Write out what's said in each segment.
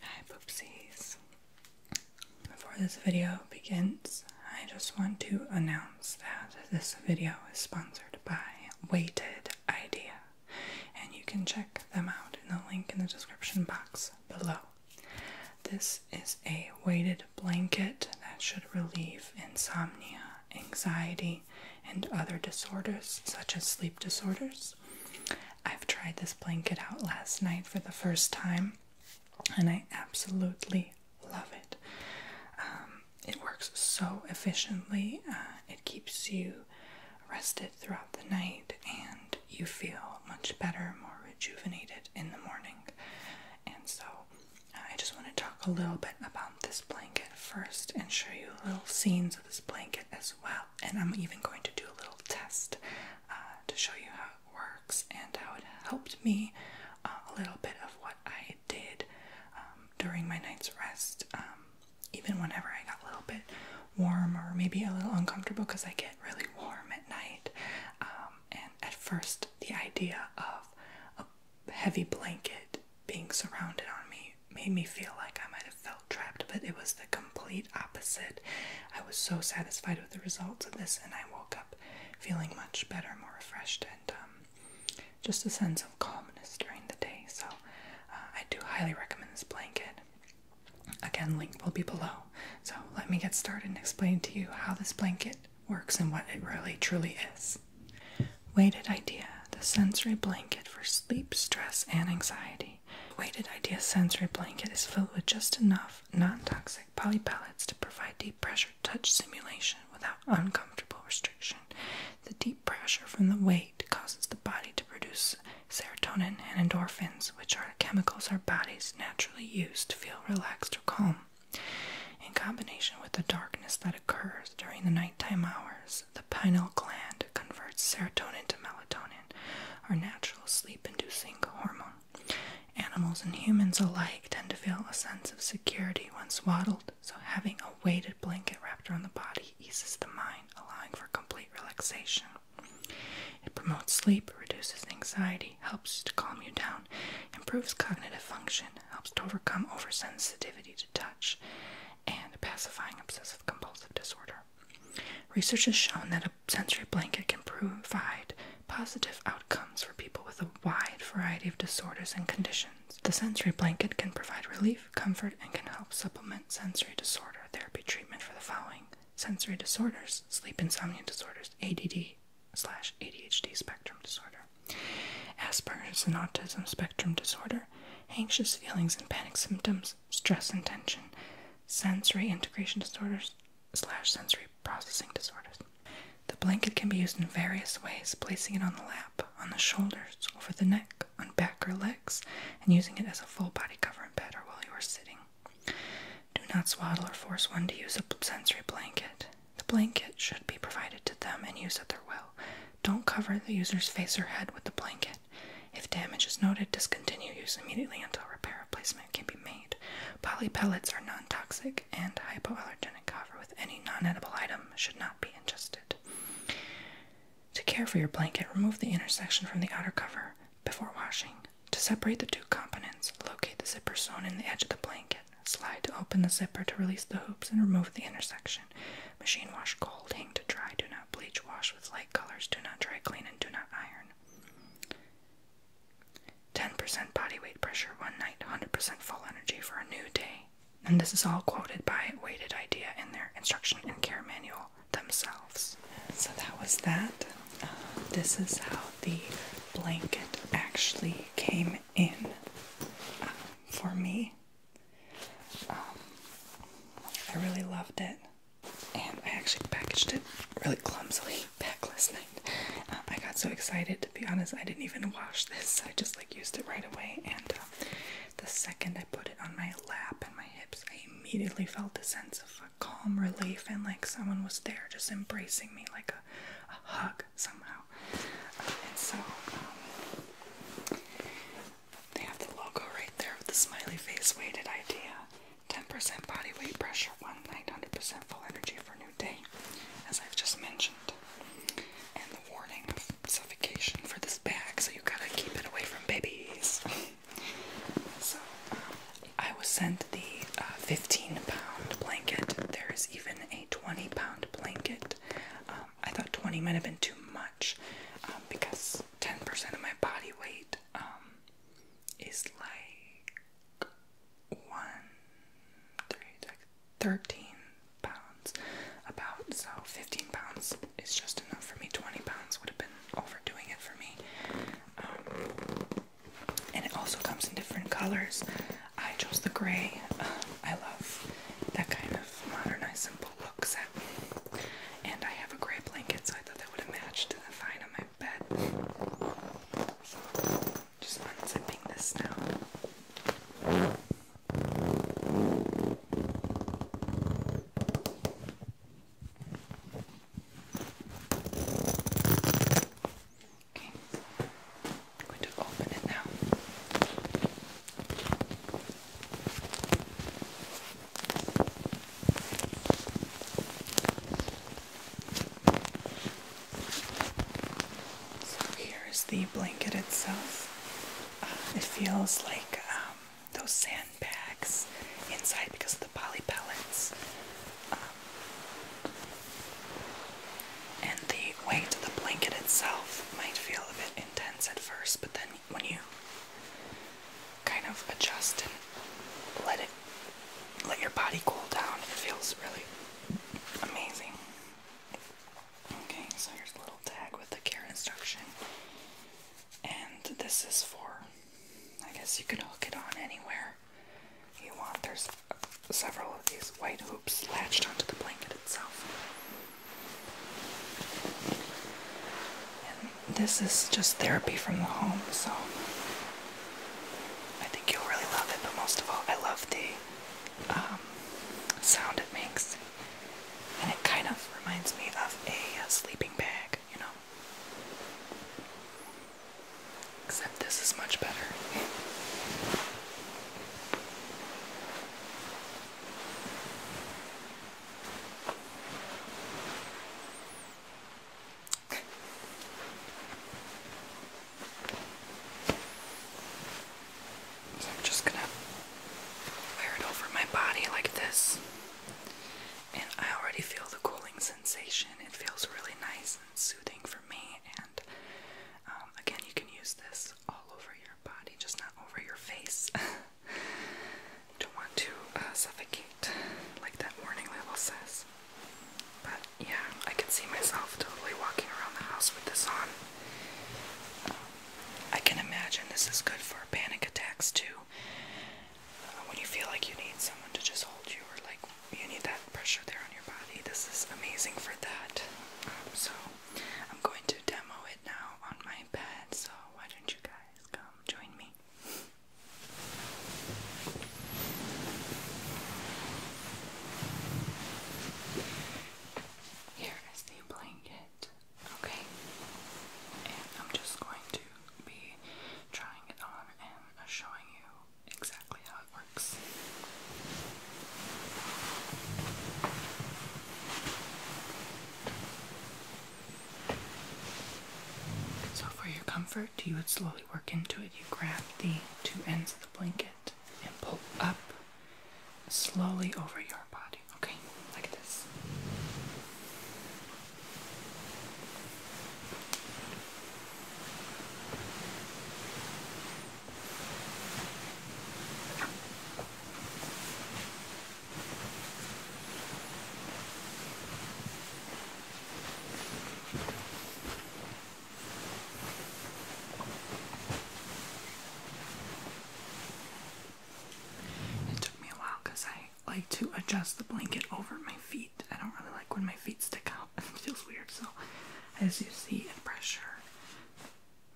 Hi, Poopsies. Before this video begins, I just want to announce that this video is sponsored by Weighted Idea, and you can check them out in the link in the description box below. This is a weighted blanket that should relieve insomnia, anxiety, and other disorders such as sleep disorders. I've tried this blanket out last night for the first time, and I absolutely love it. Um, it works so efficiently, uh, it keeps you rested throughout the night, and you feel much better, more rejuvenated in the morning. And so, uh, I just want to talk a little bit about this blanket first and show you little scenes of this blanket as well well. And I'm even going to do a little test uh, to show you how it works and how it helped me uh, a little bit of what I did um, during my night's rest. Um, even whenever I got a little bit warm or maybe a little uncomfortable because I get really warm at night. Um, and at first, the idea of a heavy blanket being surrounded on me made me feel like I might have felt trapped, but it was the complete opposite. I was so satisfied with the results of this, and I woke up feeling much better, more refreshed, and um, just a sense of calmness during the day. So uh, I do highly recommend this blanket. Again, link will be below. So let me get started and explain to you how this blanket works and what it really truly is. Weighted idea the sensory blanket for sleep, stress, and anxiety. Weighted idea sensory blanket is filled with just enough non-toxic poly pellets to provide deep pressure touch simulation without uncomfortable restriction. The deep pressure from the weight causes the body to produce serotonin and endorphins, which are chemicals our bodies naturally use to feel relaxed or calm. In combination with the darkness that occurs during the nighttime hours, the pineal gland converts serotonin to melatonin, our natural sleep inducing hormone. Animals and humans alike tend to feel a sense of security when swaddled, so having a weighted blanket wrapped around the body eases the mind, allowing for complete relaxation. It promotes sleep, reduces anxiety, helps to calm you down, improves cognitive function, helps to overcome oversensitivity to touch, and pacifying obsessive compulsive disorder. Research has shown that a sensory blanket can provide positive outcomes for people with a wide variety of disorders and conditions. The sensory blanket can provide relief, comfort, and can help supplement sensory disorder therapy treatment for the following sensory disorders, sleep insomnia disorders, ADD slash ADHD spectrum disorder, Asperger's and autism spectrum disorder, anxious feelings and panic symptoms, stress, stress and tension, sensory integration disorders slash sensory processing disorders. The blanket can be used in various ways, placing it on the lap, on the shoulders, over the neck, on back or legs, and using it as a full body cover and bedder while you are sitting. Do not swaddle or force one to use a sensory blanket. The blanket should be provided to them and used at their will. Don't cover the user's face or head with the blanket. If damage is noted, discontinue use immediately until repair replacement can be made. Poly pellets are non-toxic and hypoallergenic. Cover with any non-edible item should not be ingested. To care for your blanket, remove the inner section from the outer cover before washing. To separate the two components, locate the zipper sewn in the edge of the blanket. Slide to open the zipper to release the hoops and remove the inner section. Machine wash cold, hang to dry. Do not bleach, wash with light colors, do not dry clean, and do not iron. 10% body weight pressure one night, 100% full energy for a new day. And this is all quoted by Weighted Idea in their instruction and care manual themselves. So that was that. Um, this is how the blanket actually came in um, for me. Um, I really loved it and I actually packaged it really clumsily back last night. Um, I got so excited, to be honest, I didn't even wash this. I just like used it right away, and uh, the second I put it on my lap and my hips, I immediately felt a sense of uh, calm relief and like someone was there just embracing me like a, a hug somehow. Uh, and so. Um, they have the logo right there with the smiley face weighted idea. 10% body weight pressure, one night, 100% full energy for new day, as I've just mentioned. And the warning of suffocation for this bag, so you gotta keep it away from babies. so, um, I was sent the uh, 15 pound blanket. There is even a 20 pound blanket. Um, I thought 20 might have been too much um, because 10% of my body weight um is like one three thirteen pounds about so fifteen pounds is just enough for me. Twenty pounds would have been overdoing it for me. Um, and it also comes in different colors. I chose the gray. Uh, I love that kind of modernized simple look. And I have a gray blanket, so I thought that would have matched to the fine on my bed. just unzipping this now. Okay, I'm going to open it now. So here's the blanket itself. Uh, it feels like um, those sandbags inside because of the poly pellets. Um, and the weight of the blanket itself might feel a bit intense at first, but then when you kind of adjust and let it let your body cool down, it feels really amazing. Okay, so here's a little tag with the care instruction. And this is for I guess you can hook it on anywhere you want. There's several of these white hoops latched onto the blanket itself this is just therapy from the home, so I think you'll really love it. But most of all, I love the um, sound it makes, and it kind of reminds me of a, a sleeping bag, you know. Except this is much better. I'm just gonna wear it over my body like this. And I already feel the cooling sensation. It feels really nice and soothing for me. And um, again, you can use this all over your body, just not over your face. Don't want to uh, suffocate like that warning label says. But yeah, I can see myself totally walking around the house with this on. I can imagine this is good for panic attacks too. Uh, when you feel like you need someone to just hold you, or like you need that pressure there on your body, this is amazing for that. Um, so I'm going to demo it now on my bed. So why don't you guys come join me? Here is the blanket, okay? And I'm just going to be trying it on and showing you exactly how it works. So, for your comfort, you would slowly work into it. You grab the two ends of the blanket and pull up slowly over your body, okay? Like this. It took me a while because I like to adjust the blanket over my feet. I don't really like when my feet stick out. It feels weird. So, as you see, it pressure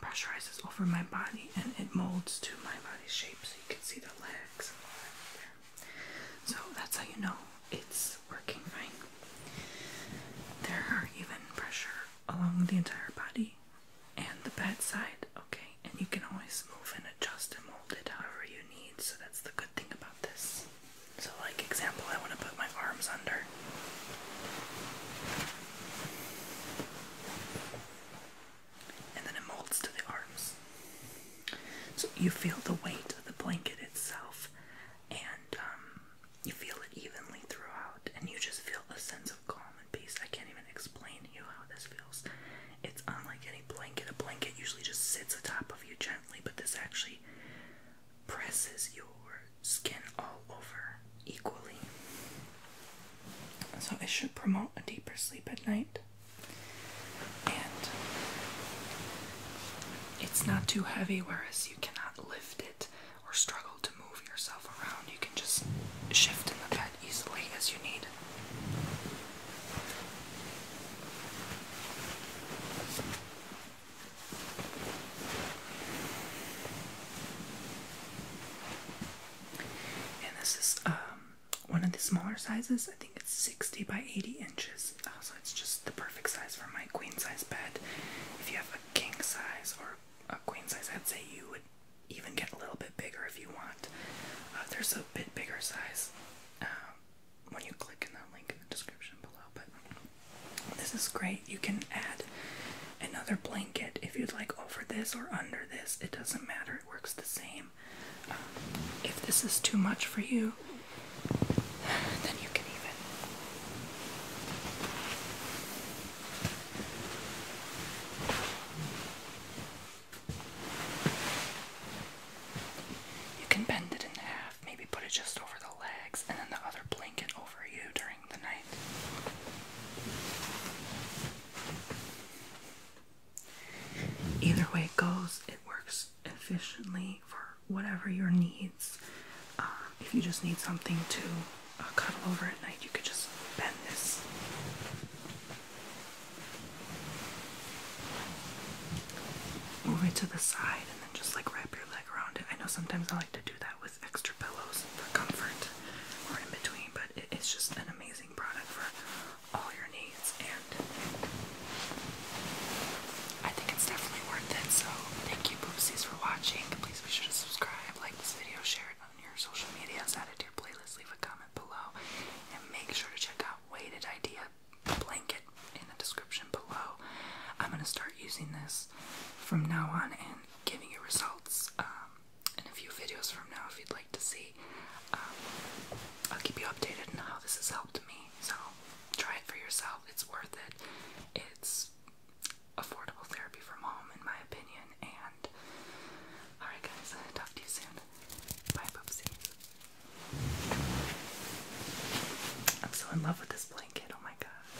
pressurizes over my body and it molds to my body shape. So you can see the legs so that's how you know it's working right. There are even pressure along the entire body and the side. okay? And you can always move and adjust and mold it however you need, so that's the good thing about this. So like example, I want to put my arms under and then it molds to the arms. So you feel the weight of the blanket itself, and um, you feel it evenly throughout, and you just feel a sense of calm and peace. I can't even explain you how this feels. It's unlike any blanket. A blanket usually just sits atop of you gently, but this actually presses your skin all over equally. So it should promote a deeper sleep at night and it's not too heavy, whereas you cannot lift it or struggle to move yourself around. You can just shift in the bed easily as you need. And this is um one of the smaller sizes. I think it's 60 by 80 inches. Uh, so it's just the perfect size for my queen size bed. If you have a king size or a queen size, I'd say you would even get a little bit bigger if you want. Uh, there's a bit bigger size um, when you click in the link in the description below. But this is great. You can add another blanket if you'd like over this or under this. It doesn't matter. It works the same. Um, if this is too much for you, then you can even. You can bend it in half, maybe put it just over the legs, and then the other blanket over you during the night. Either way it goes, it works efficiently for whatever your needs. Uh, if you just need something to uh, cuddle over at night, you could just bend this. Move it to the side and then just like wrap your leg around it. I know sometimes I like to do that with extra pillows for comfort or in between, but it's just an amazing product for all your needs, and I think it's definitely worth it. So, thank you, Boopsies, for watching. Please be sure to subscribe, like this video, share it on your social medias, add it to your playlist, leave a comment below, and make sure to check out Weighted Idea Blanket in the description below. I'm going to start using this from now on and giving you results um, in a few videos from now if you'd like to see. Um, I'll keep you updated on how this has helped me. So try it for yourself. It's worth it. It's affordable therapy from home, in my opinion. And alright, guys, talk to you soon. Bye, poopsies. I'm so in love with this blanket. Oh my god.